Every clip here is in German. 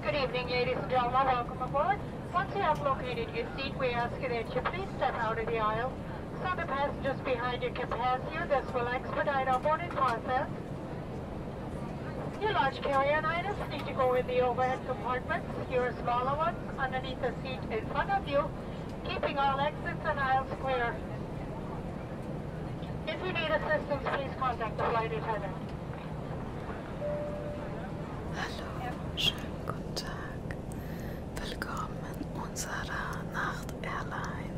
Good evening, ladies and gentlemen. Welcome aboard. Once you have located your seat, we ask you that you please step out of the aisle so the passengers behind you can pass you. This will expedite our boarding process. Your large carry-on items need to go in the overhead compartments. Your smaller ones underneath the seat in front of you keeping all exits and aisles clear. If you need assistance, please contact the flight attendant. Hallo, schönen guten Tag. Willkommen unserer Nacht Airline.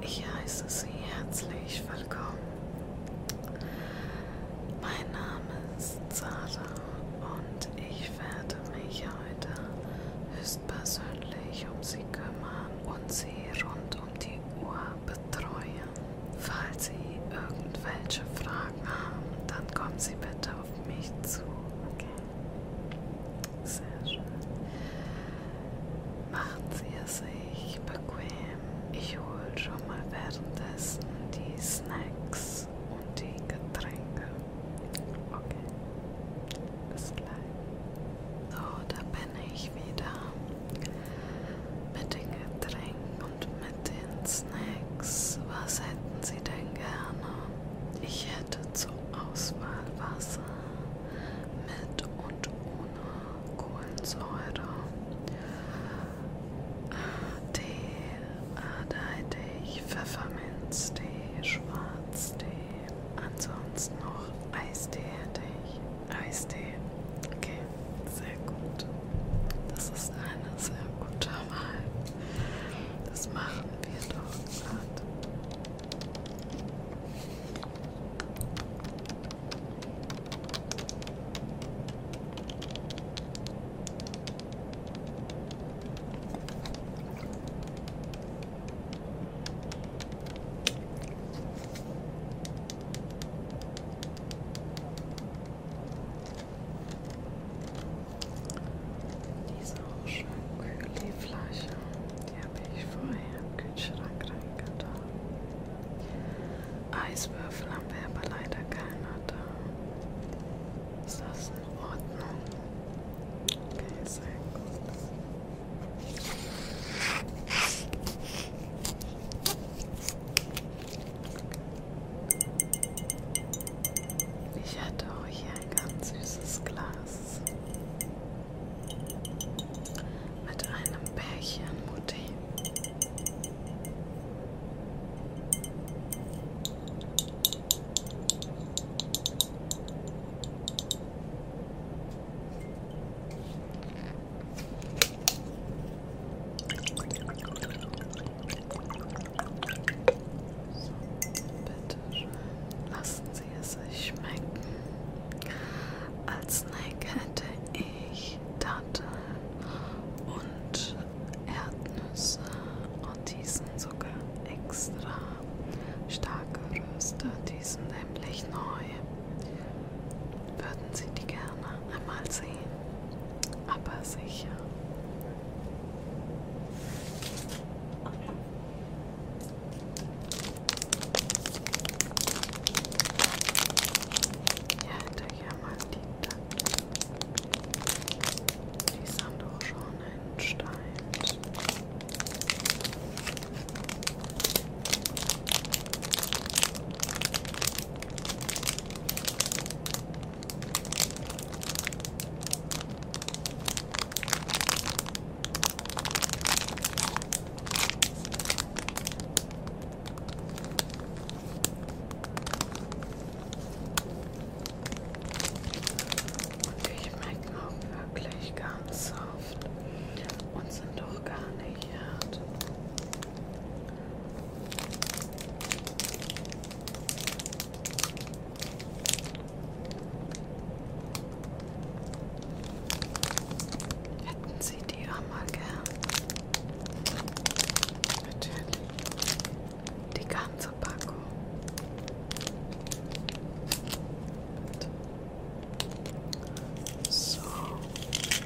Ich heiße Sie herzlich willkommen. Mein Name ist Sarah. Und ich werde mich heute höchstpersönlich um Sie kümmern und Sie rund um die Uhr betreuen. Falls Sie irgendwelche Fragen haben, dann kommen Sie bitte auf mich zu. Okay. Sehr schön. Machen Sie es sich bequem. Ich hole schon mal währenddessen die Snacks. Snacks und die Getränke. Okay. Bis gleich. So, da bin ich wieder mit den Getränken und mit den Snacks. Was hätten Sie denn gerne? Ich hätte zur Auswahl Wasser mit und ohne Kohlensäure, Tee, Ah, da hätte ich Pfefferminztee, Schwarztee. Ansonsten noch Eistee hätte ich. Eistee. Okay, sehr gut. Das ist eine sehr gute Wahl. Das machen wir doch gerade. Diese auch schön kühl, die Flasche, die habe ich vorher im Kühlschrank reingetan. Eiswürfel haben wir aber leider keiner da. Ist das in Ordnung? Okay, sehr gut. Ich hatte auch hier ein ganz süßes Glas mit einem Bärchen Mutti. Bitte schön, lassen Sie es sich schmecken. Als Snack hätte ich Datteln und Erdnüsse und diesen sogar extra Starke Röster, die sind nämlich neu. Würden Sie die gerne einmal sehen? Aber sicher. Ja, hinterher mal die Tatten. Die sind doch schon einen Stein. Und die schmecken auch wirklich ganz soft und sind doch gar nicht hart. Hätten Sie die auch mal gern? Natürlich. Die ganz Tobacco. So,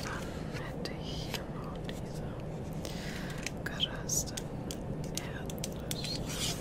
dann hätte ich hier noch diese gerösteten Erdnüsse.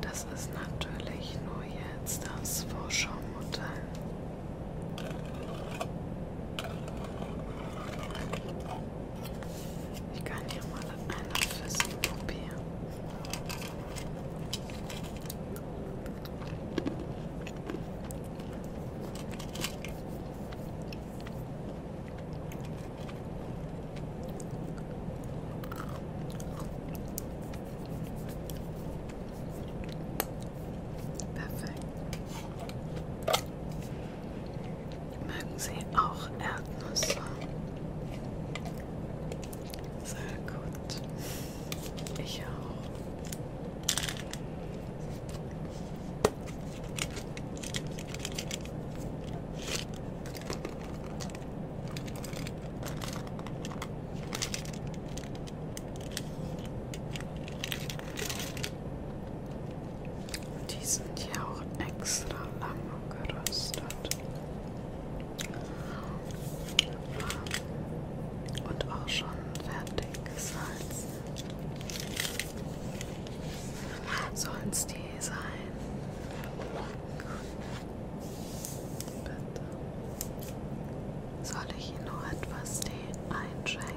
Das ist natürlich nur jetzt das Vorschau-Modell. Ich kann hier mal eine Füße probieren. Perfekt. Mögen Sie auch Erdnüsse? Sehr gut. Ich auch. Die sind ja auch extra lang geröstet und auch schon fertig gesalzen. Sollen's die sein? Bitte. Soll ich Ihnen noch etwas Tee einschenken?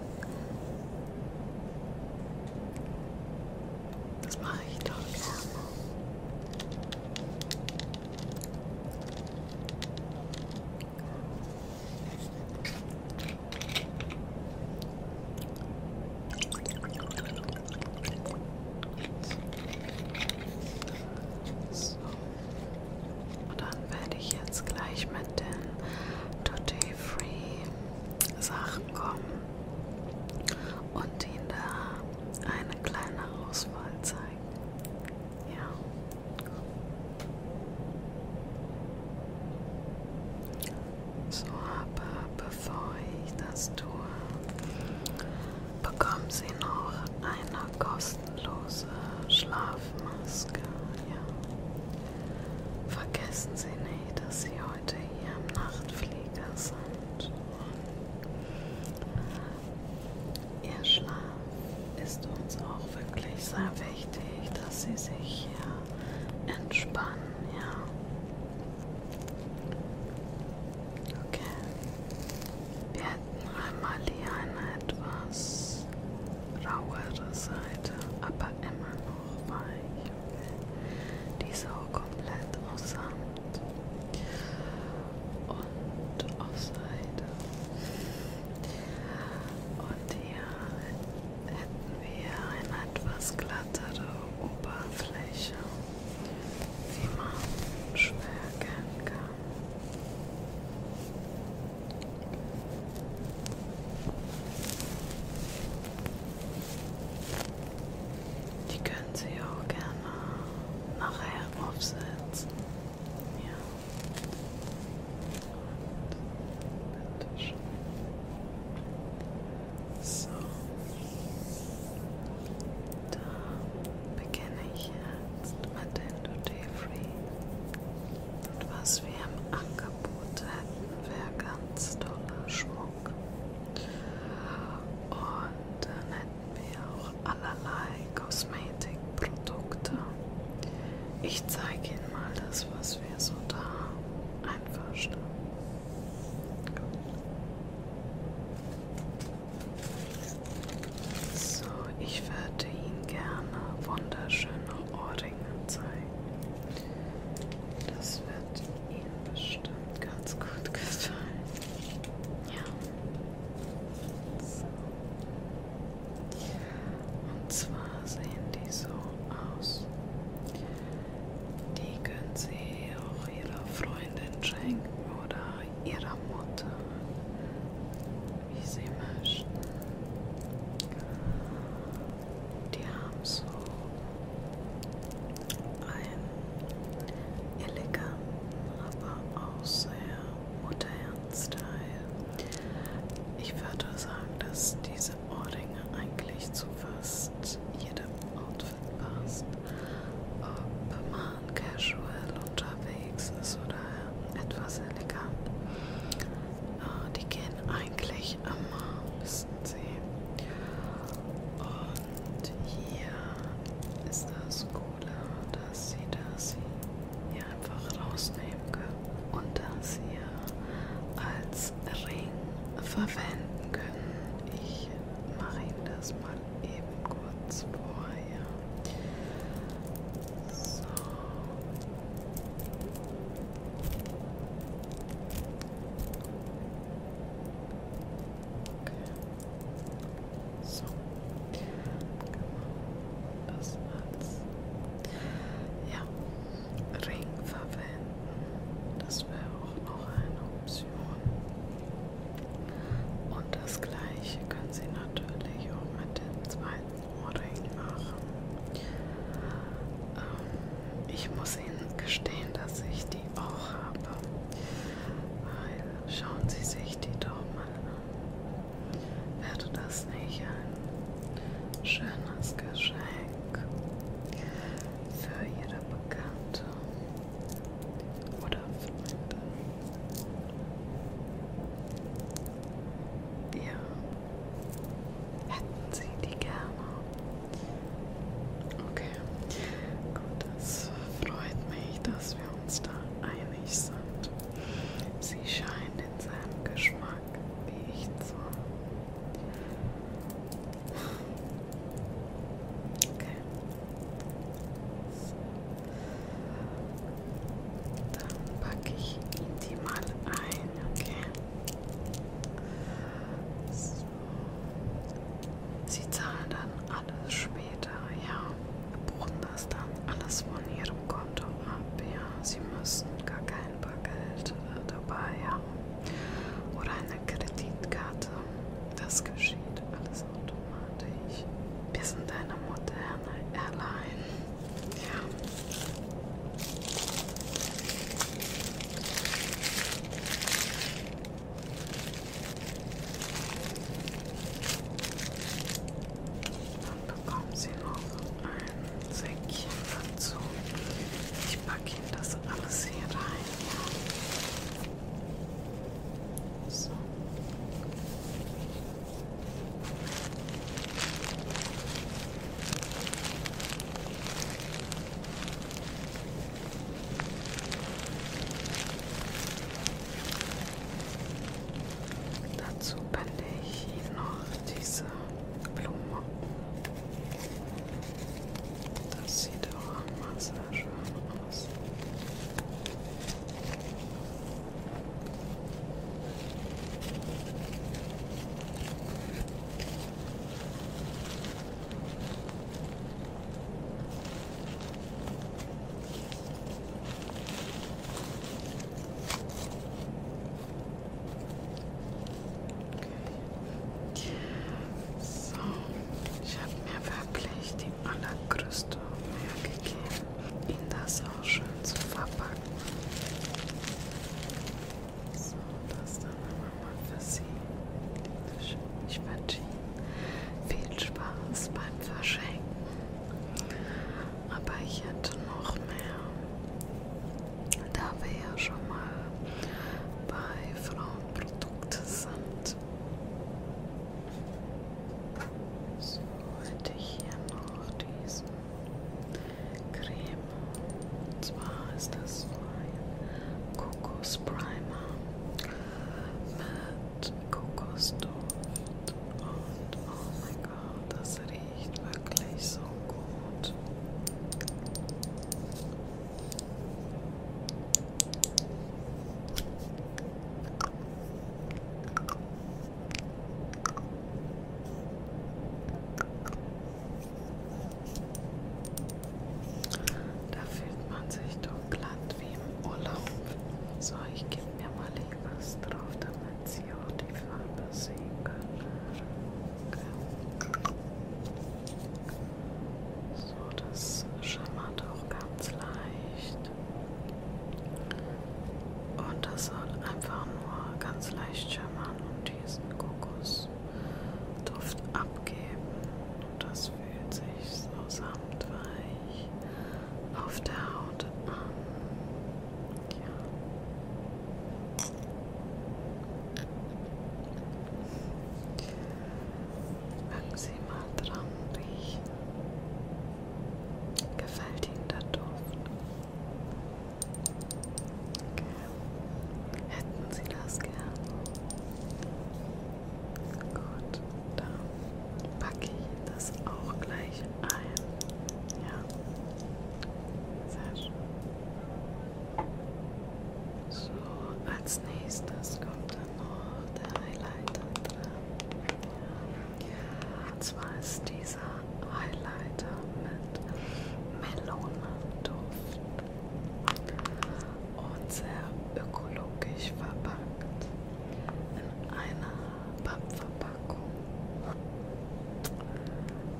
Das mache ich doch gerne. So. Dann werde ich jetzt gleich mit den Today Free Sachen kommen und ihn da eine kleine Auswahl zeigen. Ja. So, aber bevor ich das tue, bekommen Sie noch eine kostenlose Schlafmaske. Ja. Vergessen Sie nicht, dass Sie heute hier im Nachtflieger sind. Und Ihr Schlaf ist uns auch wirklich sehr wichtig, dass Sie sich hier entspannen, ja. Okay. Wir hätten einmal hier eine etwas rauere Seite, aber immer noch weich. Okay. Diese auch komplett aussah und auf Seite. Und hier hätten wir eine etwas glattere Oberfläche, wie man schwer erkennen kann. Die können Sie auch gerne nachher aufsetzen. Ja. Und bitte schön. So. Da beginne ich jetzt mit den Duty Free. Und was wir im Angebot hätten, wäre ganz toller Schmuck. Und dann wie auch allerlei Kosmetikprodukte. Ich zeige Ihnen mal das, was wir so da einverstanden. So, ich würde Ihnen gerne wunderschöne Ohrringe zeigen. Das wird Ihnen bestimmt ganz gut gefallen. Ja. So. Und zwar sehen die so aus. Die können Sie auch Ihrer Freundin schenken oder Ihrer Mutter, wie Sie möchten. Die haben so ein eleganten, aber auch sehr modernen Style. Ich würde sagen, dass diese Ohrringe eigentlich zu fast jedem Outfit passt. Ob man casual unterwegs ist oder etwas elegant. Äh, die gehen eigentlich immer, wissen Sie. Und hier ist das Coole, dass sie das hier einfach rausnehmen können und das hier als Ring verwenden können. Ich mache Ihnen das mal eben kurz vorher. So. Okay. So. Genau. Das als ja, Ring verwenden. Das wäre auch noch eine Option. Und das gleiche können Sie natürlich auch mit dem zweiten Ohrring machen. Ähm, ich muss Ihnen gestehen, dass ich die auch habe. Weil schauen Sie sich die doch mal an. Wäre das nicht ein schönes Geschenk für jede Bekannte oder Freundin? Ja, hätten Sie die gerne? Okay, gut, das freut mich, dass dass wir uns da einig sind. Sie scheint in seinem Geschmack wie ich zu haben. Okay. Dann packe ich ihn die mal ein, okay? So. Sie zahlen dann alles später, ja. Buchen das dann alles von ihrem Konto ab, ja. Sie müssen gar kein Bargeld äh, dabei haben oder eine Kreditkarte. Das geschieht alles automatisch. Wir sind eine moderne Airline. Ja. Dann bekommen Sie noch ein Säckchen dazu. Ich packe Ihnen das alles hier rein. So. Dazu bände ich Ihnen noch diese Blume. Das sieht auch mal sehr schön aus. So, ich habe mir wirklich die allergrößte Mühe gegeben, ihn das auch schön zu verpacken. So, das dann einmal für Sie. Ich wünsche Ihnen viel Spaß beim Verschenken. Aber ich hätte noch mehr. Da wir ja schon mal bei Frauenprodukten sind. So hätte ich hier noch diesen Creme. Und zwar ist das so ein Kokos Primer mit Kokosduft. Und oh mein Gott, das riecht wirklich so gut. Da fühlt man sich doch glatt irgendwie im Urlaub. So, ich gebe mir mal hier was drauf, damit Sie auch die Farbe sehen können. Okay. So, das schimmert auch ganz leicht. Und das soll einfach nur ganz leicht schimmern und diesen Kokosduft abgeben. Und das fühlt sich so samtweich auf der Haut an. Ja. Mögen Sie mal dran riechen. Gefällt Ihnen der Duft? Okay. Hätten Sie das gern? Gut, dann packe ich das auch gleich ein. Ja, sehr schön. So, als nächstes kommt dann noch der Highlighter drin. Ja. Und zwar ist dieser Highlighter mit Melonenduft und sehr ökologisch verpackt in einer Pappverpackung. Packung.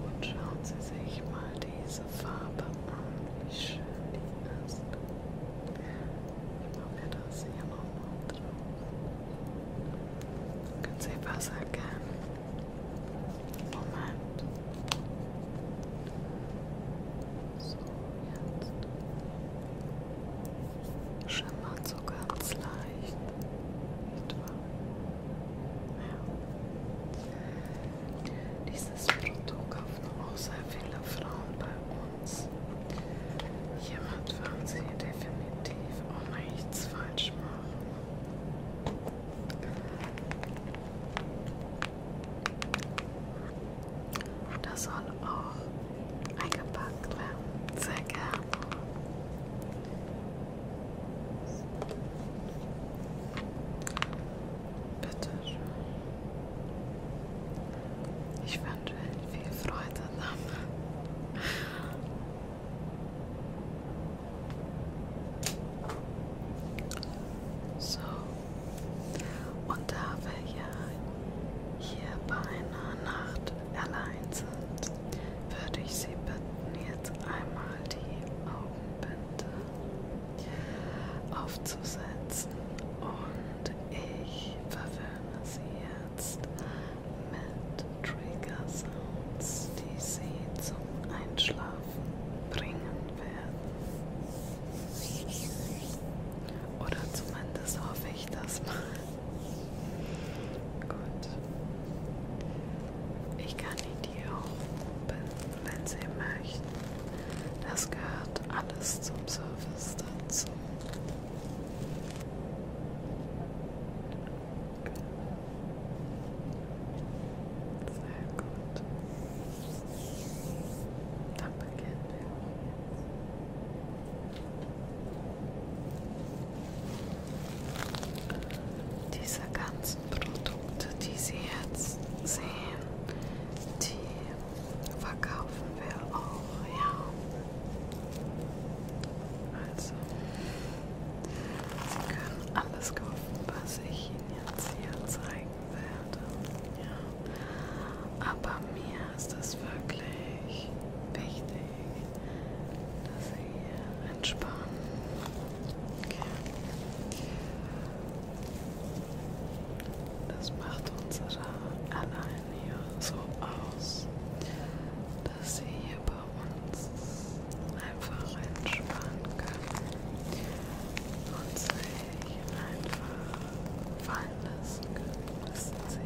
Und schauen Sie sich mal diese Farbe an, wie schön die ist. Ich mache mir das hier nochmal drauf. Können Sie was erkennen? Moment. So, jetzt schimmert so ganz leicht. Nicht wahr? Ja. Dieses Produkt kaufen auch sehr viele Frauen bei uns. Hiermit werden sie definitiv auch nichts falsch machen. Das soll auch eingepackt werden. Sehr gerne. Bitte schön. Ich wünsche Ihnen viel Freude damit. So, und da wir ja hier bei einer Nacht allein sind, würde ich Sie bitten, jetzt einmal die Augenbinde aufzusetzen und ich verwöhne Sie jetzt mit Trigger Sounds, die Sie zum Einschlafen bringen werden. Oder zumindest hoffe ich das mal. Gut. Ich kann die Tür oben, wenn Sie möchten. Das gehört alles zum Service dazu. Sehr gut. Dann beginnen wir jetzt. Diese ganzen Produkte, die Sie jetzt sehen, die verkaufen wir auch, ja. Also, Sie können alles kaufen, was ich Ihnen jetzt hier zeigen werde. Ja. Aber mir ist das wirklich wichtig, dass sie hier entspannen. Okay. Das macht unsere allein hier so aus, dass sie hier bei uns einfach entspannen können und sich einfach fallen lassen können, wissen sie.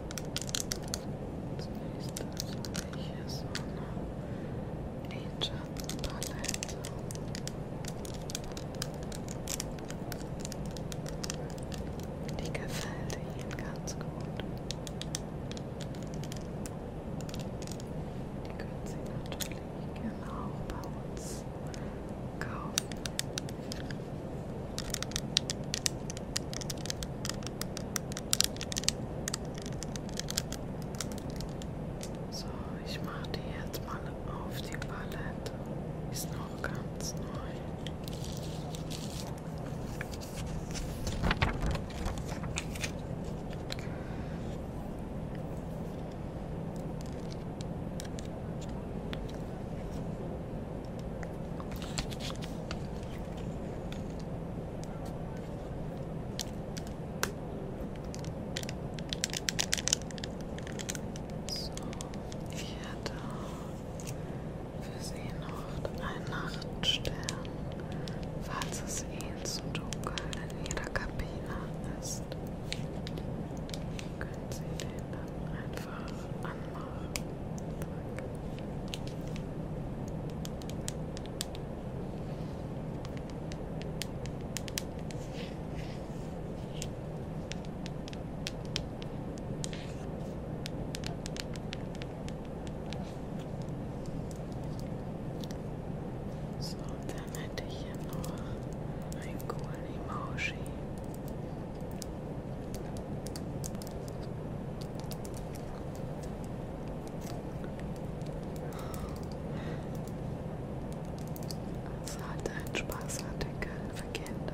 Zunächst hier so eine Nature-Palette. Die gefällt Ihnen ganz gut. Die können Sie natürlich gerne auch bei uns kaufen. So, ich mache die jetzt mal auf die Palette. Ist noch ganz neu. So, so, ich hätte für Sie noch einen Nachtstern, falls es Ihnen eh zu dunkel in Ihrer Kabine ist. Können Sie den dann einfach anmachen? Zack. So, dann hätte ich hier noch ein coolen Emoji. Es hat einen Spaßartikel für Kinder.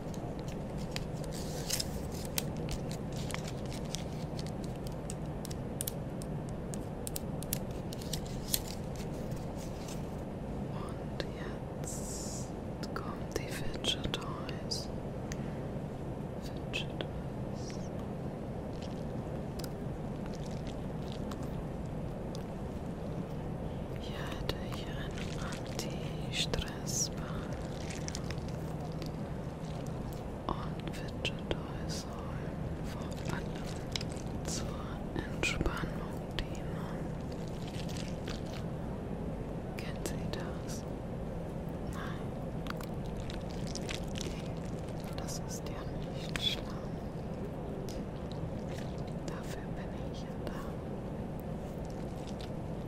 Und jetzt kommt die Fidget Toys. Fidget Toys. Hier hätte ich einen die Stressbahn und Fidget Toys sollen vor allem zur Entspannung dienen. Kennt sie das? Nein. Das ist ja nicht schlimm. Dafür bin ich ja da.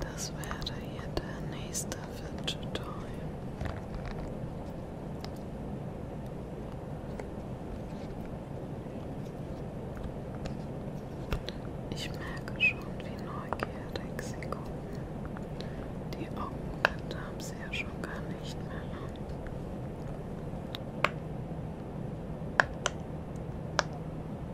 Das wäre hier der nächste Fidget Toy. Ich merke schon, wie neugierig sie gucken. Die Augenblätter haben sie ja schon gar nicht mehr an.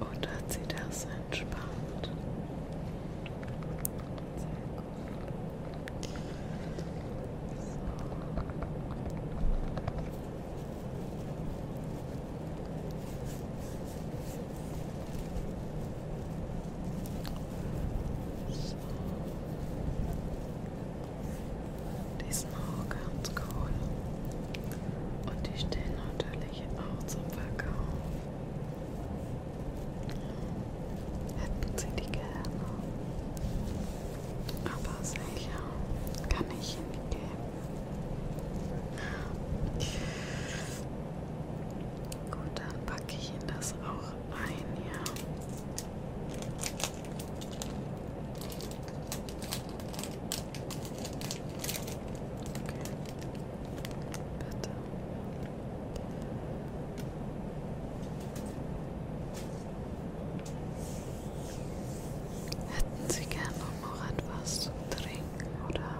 Und hat sie das entspannt? Sehr gut. So. So. Die sind auch ganz cool. Und die stehen natürlich auch zum Verkauf. Hätten sie die gerne. Aber sicher kann ich ihnen geben. Gut, dann packe ich Ihnen das auch ein hier. Okay. Bitte. Hätten Sie gerne noch etwas zu trinken oder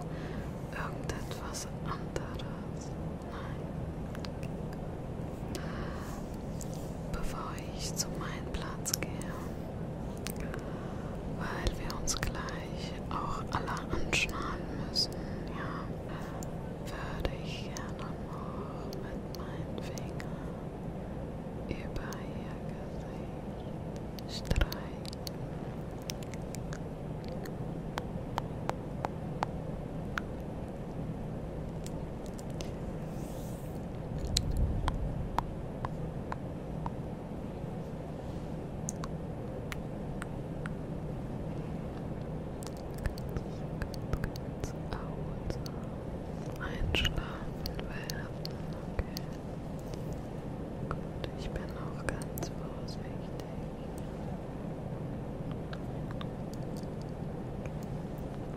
irgendetwas anderes? bevor ich zu meinem Platz gehe, weil wir uns gleich auch alle anschnallen müssen, ja, würde ich gerne noch mit meinen Fingern über ihr Gesicht streichen. Einschlafen werden. Okay. Gut, ich bin auch ganz vorsichtig. Okay.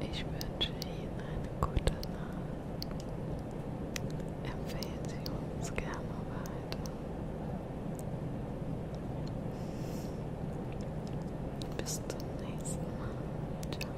Ich wünsche Ihnen eine gute Nacht. Empfehlen Sie uns gerne weiter. Bis zum nächsten Mal. Ciao.